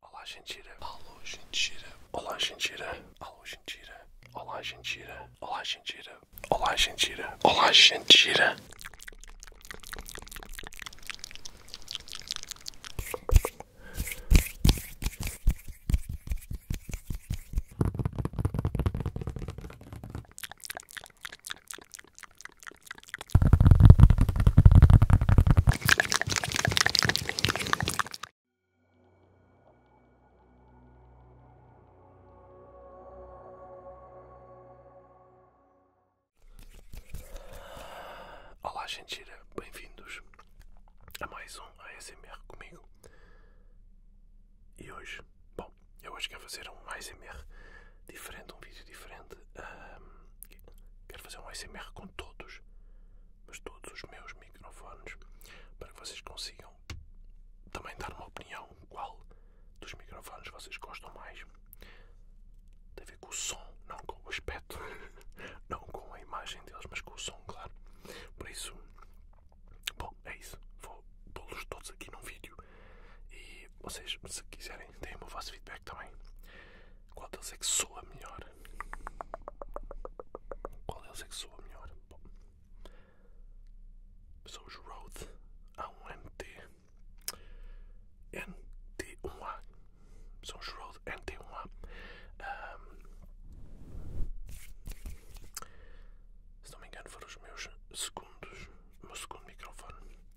Olá, gentilha. Alô, gentilha. Olá, gentilha. Alô, gentilha. Olá, gentilha. Olá, gentilha. Olá, gentilha. Olá, gentilha. Olá, gente, bem-vindos a mais um ASMR comigo. E hoje, bom, eu hoje quero fazer um ASMR diferente, um vídeo diferente quero fazer um SMR com todos, mas todos os meus microfones, para que vocês consigam também dar uma opinião qual dos microfones vocês gostam mais. Tem a ver com o som, não com o aspecto, não com a imagem deles, mas com o som, claro. Por isso, bom, é isso. Vou pô-los todos aqui num vídeo e vocês, se quiserem, deem o vosso feedback também. Qual deles é que soa melhor? Qual deles é que soa melhor? Bom, são os road a um NT. NT1A. São os road NT1A. se não me engano, foram os meus segundos. O meu segundo microfone.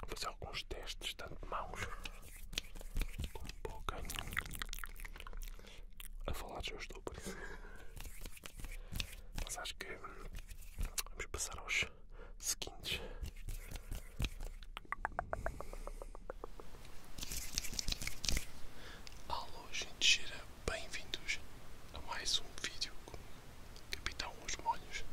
Vou fazer alguns testes, tanto de mãos como boca. A falar já estou por isso. Mas acho que vamos passar aos seguintes. Alô, gente gira, Bem-vindos a mais um vídeo com Capitão Os Molhos.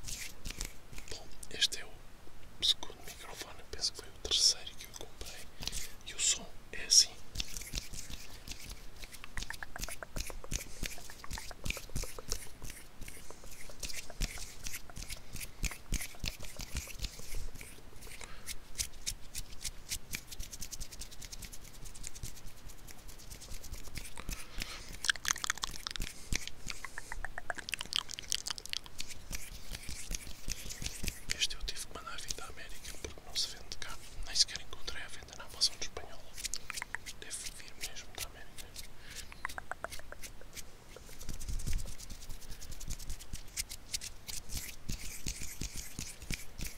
Bom, este é o segundo microfone, penso que foi o terceiro que eu comprei. E o som é assim. Este eu tive que mandar vir da América porque não se vende cá. Nem sequer encontrei a venda na Amazon de Espanhola. Deve vir mesmo da América.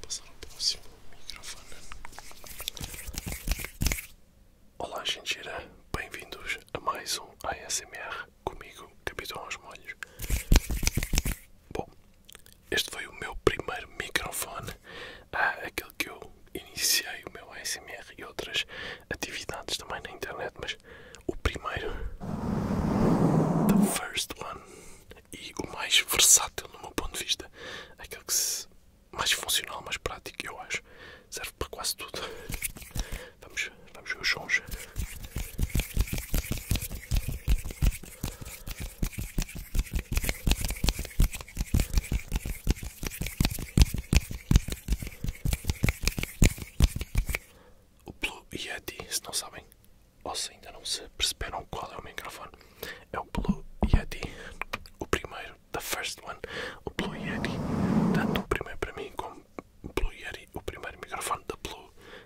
passar ao próximo microfone. Olá, genteira, bem-vindos a mais um ASMR comigo, Capitão aos Molhos. Bom, este foi o meu primeiro microfone, aquele que eu iniciei o meu ASMR e outras atividades também na internet, mas o primeiro, the first one, e o mais versátil no meu ponto de vista, aquele que se, mais funcional, mais prático, eu acho, serve para quase tudo. Vamos, vamos ver os sons. O Blue Yeti, se não sabem, ou se ainda não se perceberam qual é o microfone, é o Blue Yeti, o primeiro, the first one, o Blue Yeti, tanto o primeiro para mim como o Blue Yeti, o primeiro microfone da Blue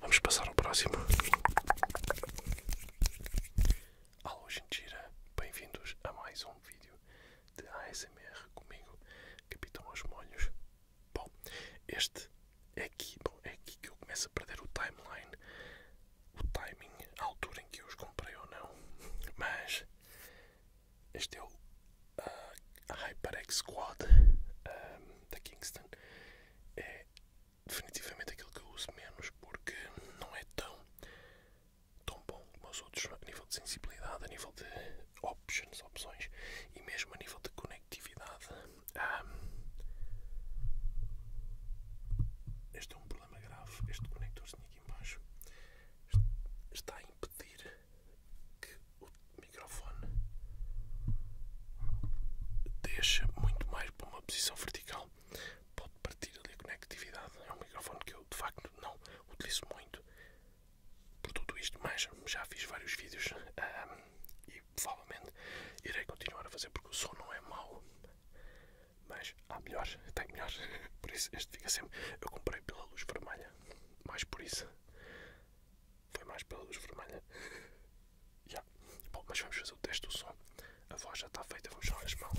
Vamos passar ao próximo. Alô, Gentira, bem-vindos a mais um vídeo de ASMR comigo, Capitão aos Molhos. Bom, este é aqui, bom, é aqui que eu começo a perder o timeline, o timing, a altura em que eu os comprei ou não, mas este é o ah, HyperX Quad ah, da Kingston. É definitivamente aquele que eu uso menos porque não é tão, tão bom como os outros a nível de sensibilidade, a nível de options, opções e mesmo a nível de conectividade. este é um problema grave, este conectorzinho aqui embaixo está a impedir que o microfone deixa muito mais para uma posição vertical. Pode partir ali a conectividade. É um microfone que eu de facto não utilizo muito. Por tudo isto, mas já fiz vários vídeos e provavelmente irei continuar a fazer porque o som não é mau. Mas há melhores, tem melhores. Por isso, este fica sempre. Eu comprei pela luz vermelha, mais por isso. Foi mais pela luz vermelha. Yeah. Bom, mas vamos fazer o teste do som. A voz já está feita, vamos chamar as mãos.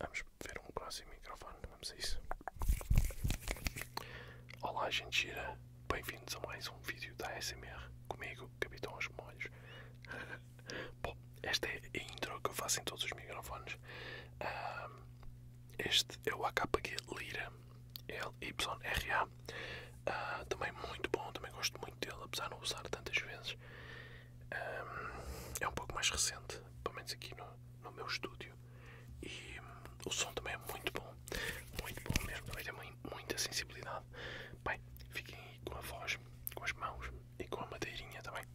Vamos ver um próximo microfone, vamos a isso. Olá, gente gira. Bem-vindos a mais um vídeo da ASMR comigo, Capitão Os Molhos. Bom, esta é a intro que eu faço em todos os microfones. este é o AKG Lira l y r ah, também muito bom, também gosto muito dele, apesar de não usar tantas vezes. é um pouco mais recente, pelo menos aqui no, no meu estúdio. E hum, o som também é muito bom, muito bom mesmo. Também muita sensibilidade. Bem, fiquem aí com a voz, com as mãos e com a madeirinha também. Tá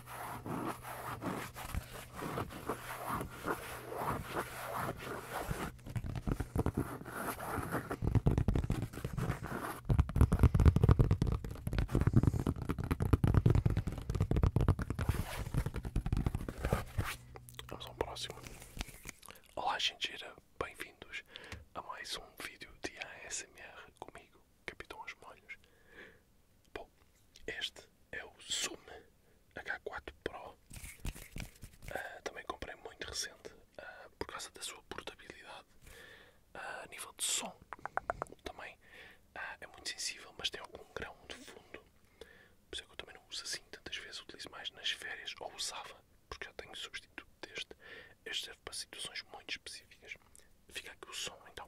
Vamos ao próximo. Olá, genteira, bem-vindos a mais um vídeo de ASMR comigo, Capitão Os Molhos. Bom, este é o Zoom H4 Pro. Ah, também comprei muito recente ah, por causa da sua portabilidade. Ah, a nível de som, também é muito sensível, mas tem algum grão de fundo. Por isso é que eu também não uso assim tantas vezes, utilizo mais nas férias ou usava, porque eu tenho substituto deste. Este serve para situações muito específicas. Fica aqui o som então.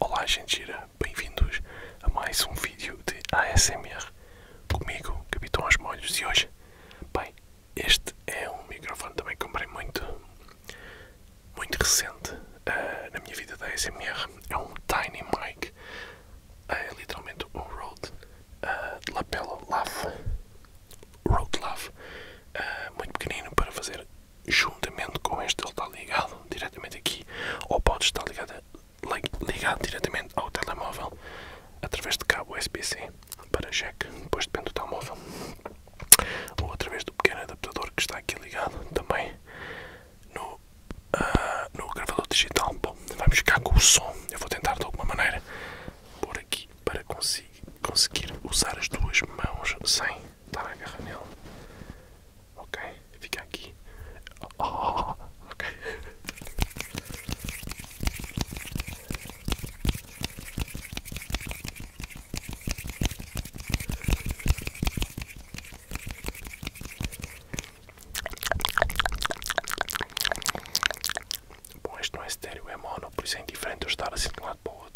Olá, gente gira, bem-vindos a mais um vídeo de ASMR comigo, Capitão Os Molhos. E hoje, bem, este é um microfone que também comprei muito, muito recente eh, na minha vida da ASMR. É um Tiny Mic é literalmente um road uh, eh, lapela lave, road lave, eh, muito pequenino para fazer juntamente com este, ele está ligado diretamente aqui, ou pode estar ligado, ligado diretamente ao telemóvel através de cabo USB-C para jack, depois depende do telemóvel, ou através do pequeno adaptador que está aqui ligado também no, eh, no gravador digital. Bom, vamos ficar com o som eu vou tentar de alguma maneira pôr aqui para conseguir usar as duas mãos sem estar a agarrar nele. Ok, fica aqui. Oh, ok. Bom, este não é estéreo, é mono, por isso é indiferente eu estar assim de um lado para o outro.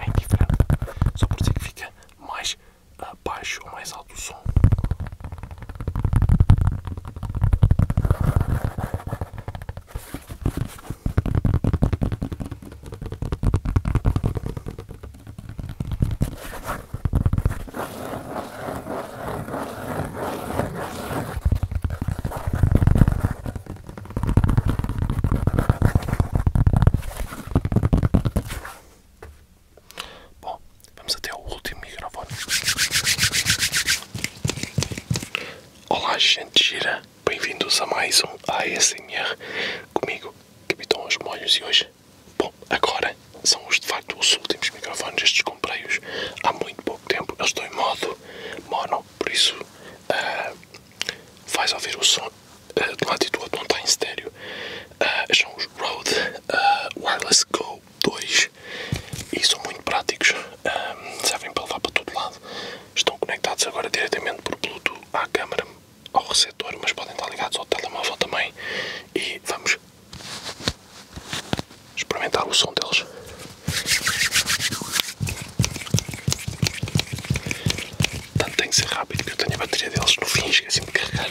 É diferente, só por isso que fica mais abaixo ah, ou mais alto o som. Bom, vamos até o último microfone. Olá, gente gira, bem-vindos a mais um ASMR comigo, Capitão Os Molhos, e hoje, bom, agora são os de facto os últimos microfones, estes comprei-os há muito pouco tempo, eles estão em modo muito mono, por isso eh, faz ouvir o som uh, do lado e outro, não está em estéreo. Eh, são os Rode eh, Wireless Go 2 e são muito práticos, um, servem para levar para todo lado. Estão conectados agora diretamente por Bluetooth à câmera, ao receptor, mas podem estar ligados ao telemóvel também. E vamos experimentar o som deles. Tanto tem que ser rápido que eu tenho a bateria deles no fim, esqueci-me de carregar.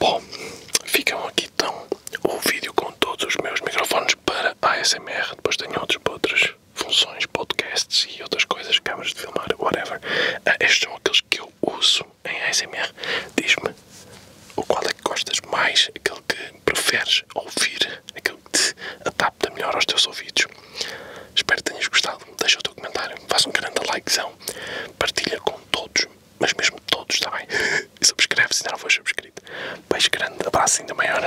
Bom, ficam aqui então o vídeo com todos os meus microfones para ASMR, depois tenho outros para funções, podcasts e outras coisas, câmaras de filmar, whatever. Uh, estes são aqueles que eu uso em ASMR. Diz-me o qual é que gostas mais, aquele que preferes ouvir, aquele que te adapta melhor aos teus ouvidos. Espero que tenhas gostado. Deixa o teu comentário, faz um grande likezão, partilha com todos, mas mesmo todos, está bem? E subscreve se não for subscrito. Beijo grande, abraço ainda maior.